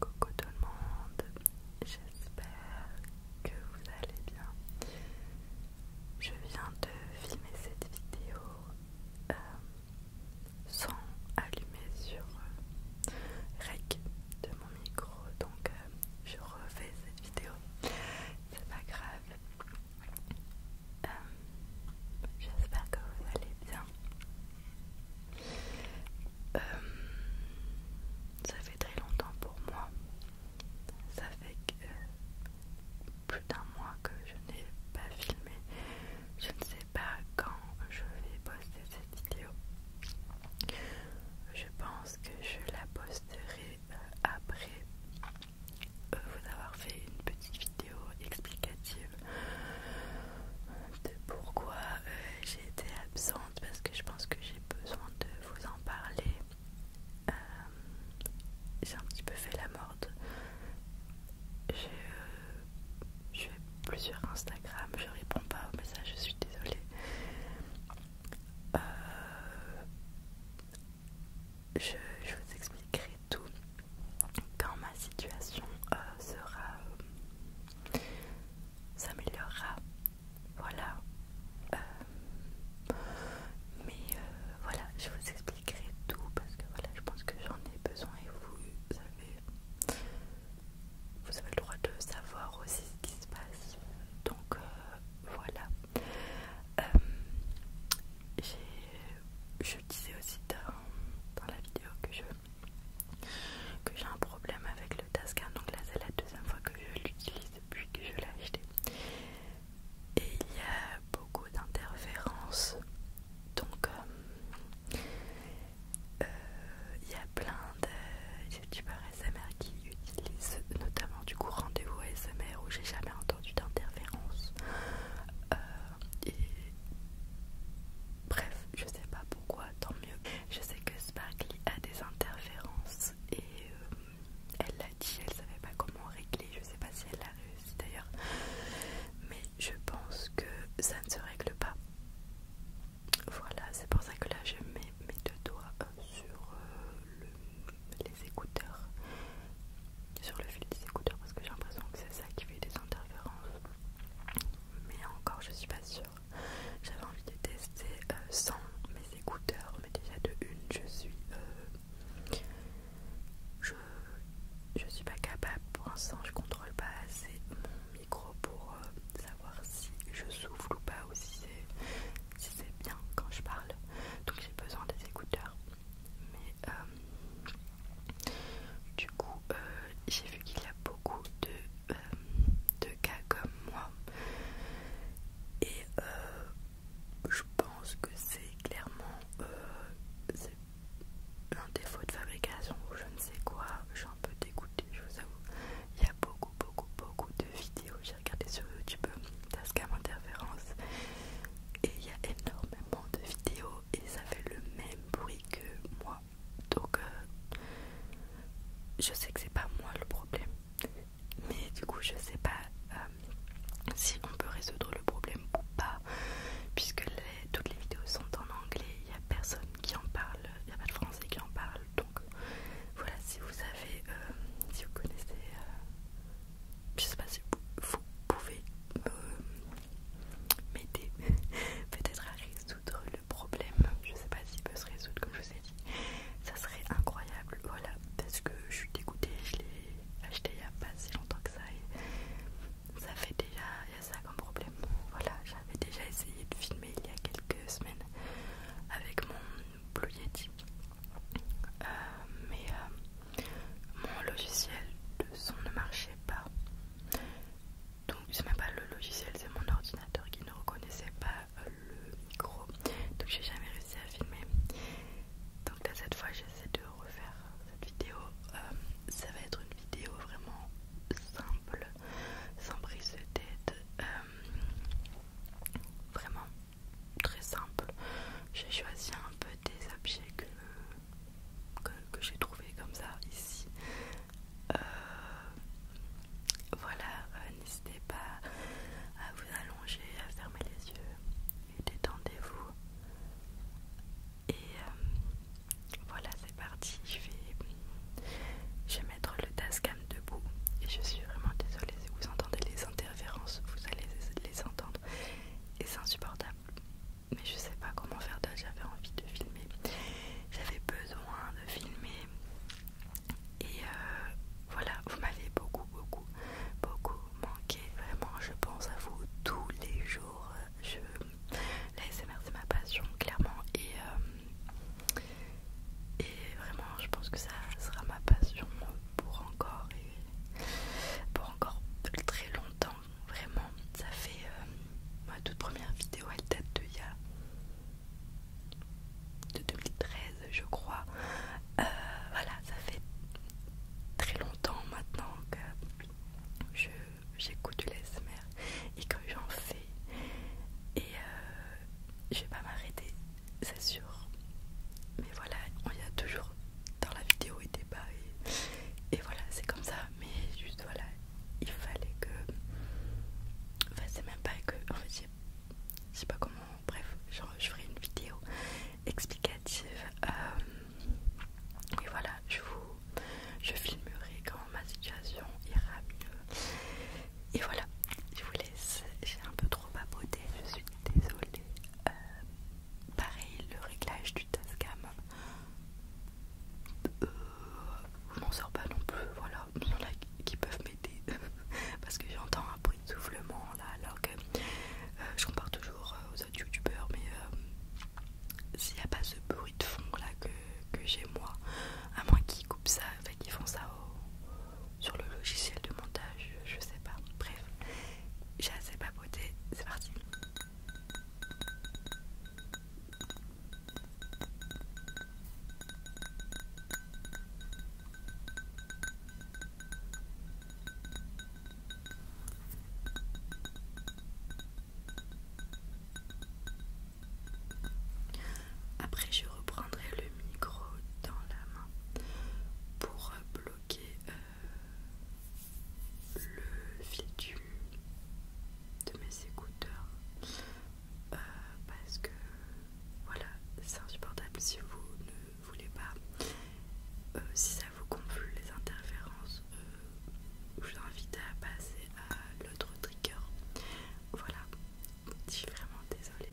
Coucou tout le monde, j'espère que vous allez bien. Je viens de filmer cette vidéo euh, sans allumer sur euh, REC de mon micro, donc euh, je refais cette vidéo. C'est pas grave. J'espère que vous allez bien. Euh, ça fait très longtemps pour moi. Ça fait euh, plus d'un mois que je n'ai pas filmé. Je ne sais pas quand je vais poster cette vidéo. Je pense que je la posterai euh, après vous avoir fait une petite vidéo explicative de pourquoi euh, j'ai été absente parce que je pense que j'ai besoin de vous en parler. Euh, j'ai un petit peu fait la morde. j'ai euh, plusieurs je plus Instagram, je réponds pas aux messages, je suis désolée. je, vous expliquerai tout quand ma situation sera s'améliorera. Voilà. Euh, mais euh, voilà, je vous expliquerai tout parce que voilà, je pense que j'en ai besoin et vous, avez, vous avez le droit de savoir aussi ce qui se passe. Donc euh, voilà. je disais aussi dans la vidéo que je que j'ai un problème avec le Tascam. Donc là, c'est la deuxième fois que je l'utilise depuis que je l'ai acheté. Et il y a beaucoup d'interférences. Donc, euh, euh, il y a plein de youtubeurs SMR qui utilisent notamment du coup rendez-vous SMR où j'ai jamais entendu d'interférences euh, et bref, je sais pas pourquoi je sais que Sparkly a des interférences et euh, elle l'a dit, elle savait pas comment régler, je sais pas si elle l'a réussi d'ailleurs, mais je pense que ça ne se règle pas. Voilà, c'est pour ça que là je mets mes deux doigts euh, sur euh, les écouteurs, sur le fil des écouteurs parce que j'ai l'impression que c'est ça qui fait des interférences. Mais encore, je suis pas sûre. J'avais envie de tester euh, sans mes écouteurs, mais déjà de une, je suis, euh, je, suis pas capable pour l'instant, je contrôle pas assez mon micro pour euh, savoir si je souffle ou pas ou si c'est bien quand je parle. Donc j'ai besoin des écouteurs. Mais du coup, j'ai j'ai qu'il y a beaucoup de, euh, de cas comme moi et euh, je pense que c'est clairement euh, un défaut de fabrication ou je ne sais quoi, je suis un peu dégoûtée, je vous avoue. Il y a beaucoup, beaucoup, beaucoup de vidéos, j'ai regardé sur YouTube Tascam Interférence et il y a énormément de vidéos et ça fait le même bruit que moi donc, euh, je sais que c'est pas moi le problème, mais du coup, je sais pas euh, si on peut résoudre le problème ou pas, puisque toutes les vidéos sont en anglais, il n'y a personne qui en parle, il n'y a pas de français qui en parle. Donc, voilà, si vous avez, euh, si vous connaissez, je sais pas si vous, pouvez m'aider peut-être à résoudre le problème. Je sais pas s'il peut se résoudre, comme je vous ai dit. Ça serait incroyable, voilà, parce que je suis dégoûtée. Je l'ai acheté il n'y a pas si longtemps que ça et ça fait déjà, il y a ça comme problème. Voilà, j'avais déjà essayé de filmer il y a quelques semaines avec mon Blue euh, mais euh, mon logiciel de son ne marchait pas donc c'est même pas le logiciel c'est mon ordinateur qui ne reconnaissait pas euh, le micro donc j'ai jamais réussi à filmer donc là cette fois j'essaie de refaire cette vidéo euh, ça va être une vidéo vraiment simple sans prise de tête euh, vraiment très simple j'ai choisi un peu des objets que, que, que j'ai trouvé comme ça ici euh, voilà, euh, n'hésitez pas à vous allonger, à fermer les yeux et détendez-vous. Et euh, voilà, c'est parti. Je vais, je vais mettre le Tascam debout. Et je suis vraiment désolée si vous entendez les interférences, vous allez les entendre. Et c'est insupportable. Mais je sais pas comment faire d'autre, j'avais envie de filmer. J'avais besoin filmer. Et euh, voilà, vous m'avez beaucoup, beaucoup, beaucoup manqué. Vraiment, je pense à vous tous les jours. Je... laisse c'est ma passion, clairement. Et, euh, et vraiment, je pense que ça sera ma passion pour encore, et pour encore très longtemps. Vraiment, ça fait. Euh, ma toute première vidéo elle date de il y a de 2013 je crois euh, voilà ça fait très longtemps maintenant que je j'écoute mère et que j'en fais et euh, je vais pas m'arrêter c'est sûr mais voilà on y a toujours dans la vidéo et débat et voilà c'est comme ça mais juste voilà il fallait que. Enfin, c'est même pas que. En fait, je sais pas comment. Bref, genre, je ferai une vidéo explicative. Euh, et voilà, je vous. Je filmerai quand ma situation ira mieux. Et voilà, je vous laisse. J'ai un peu trop baboté je suis désolée. Euh, pareil, le réglage du Tascam je euh, m'en sors pas non plus, voilà, il y en a qui peuvent m'aider parce que j'entends un bruit de soufflement là, alors que euh, je compare toujours euh, aux autres youtubeurs, mais s'il n'y a pas ce bruit de fond là que, j'ai moi, à moins qu'ils coupent ça, qu'ils font ça sur le logiciel de montage, je sais pas, bref, j'ai assez papoté, c'est parti. Après, je reprendrai le micro dans la main pour bloquer euh, le fil du de mes écouteurs euh, parce que voilà c'est insupportable si vous ne voulez pas euh, si ça vous gonfle les interférences euh, je vous invite à passer à l'autre trigger voilà je suis vraiment désolée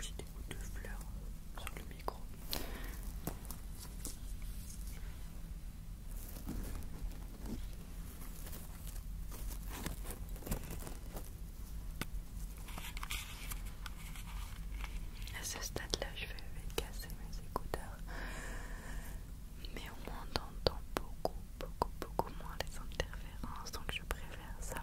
J'ai des gouttes de fleurs sur le micro. À ce stade-là, je vais casser mes écouteurs, mais on entend beaucoup, beaucoup, beaucoup moins les interférences, donc je préfère ça.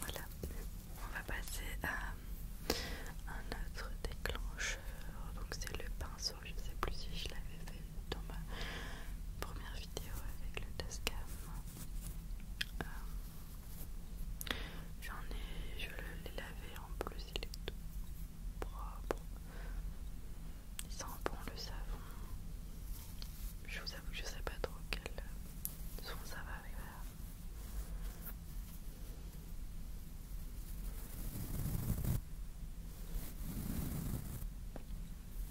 Voilà, on va passer à un autre déclencheur, donc c'est le pinceau, je ne sais plus si je l'avais fait dans ma première vidéo avec le Tascam. Euh, j'en ai, je l'ai lavé en plus, il est tout propre. Il sent bon le savon. Je vous avoue que je sais pas trop quel son ça va arriver.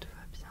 Tout va bien.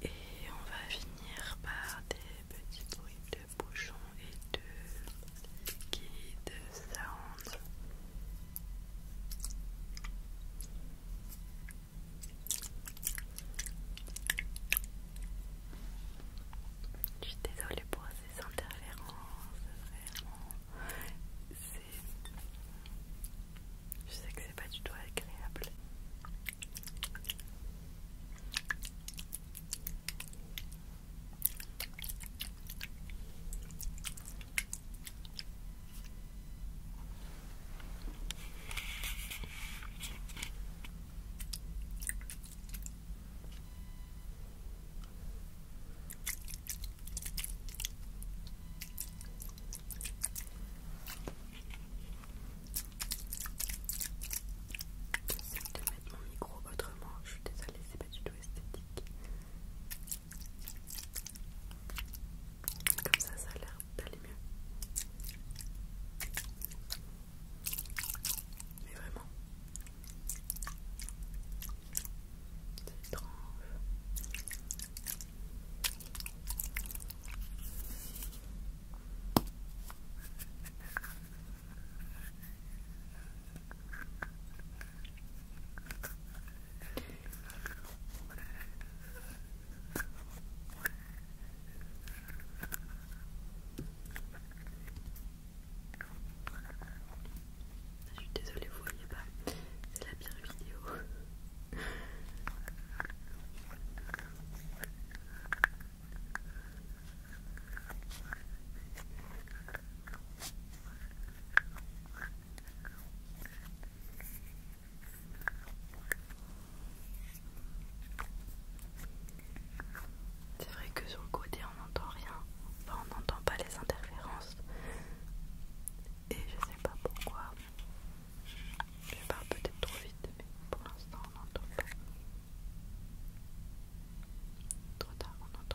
Et on va finir par des petits bruits de bouchons et de de sound. Je suis désolée pour ces interférences, vraiment. Je sais que c'est pas du tout agréable. J'essaie de mettre mon micro autrement, je suis désolée, c'est pas du tout esthétique. Comme ça, ça a l'air d'aller mieux. Mais vraiment, c'est étrange. Je suis désolée, vous voyez pas, c'est la pire vidéo. C'est vrai que sur le côté on n'entend rien, enfin on n'entend pas les interférences et je sais pas pourquoi. Je parle peut-être trop vite mais pour l'instant on n'entend pas. Trop tard on entend.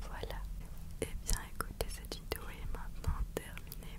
Voilà, et eh bien écoutez, cette vidéo est maintenant terminée.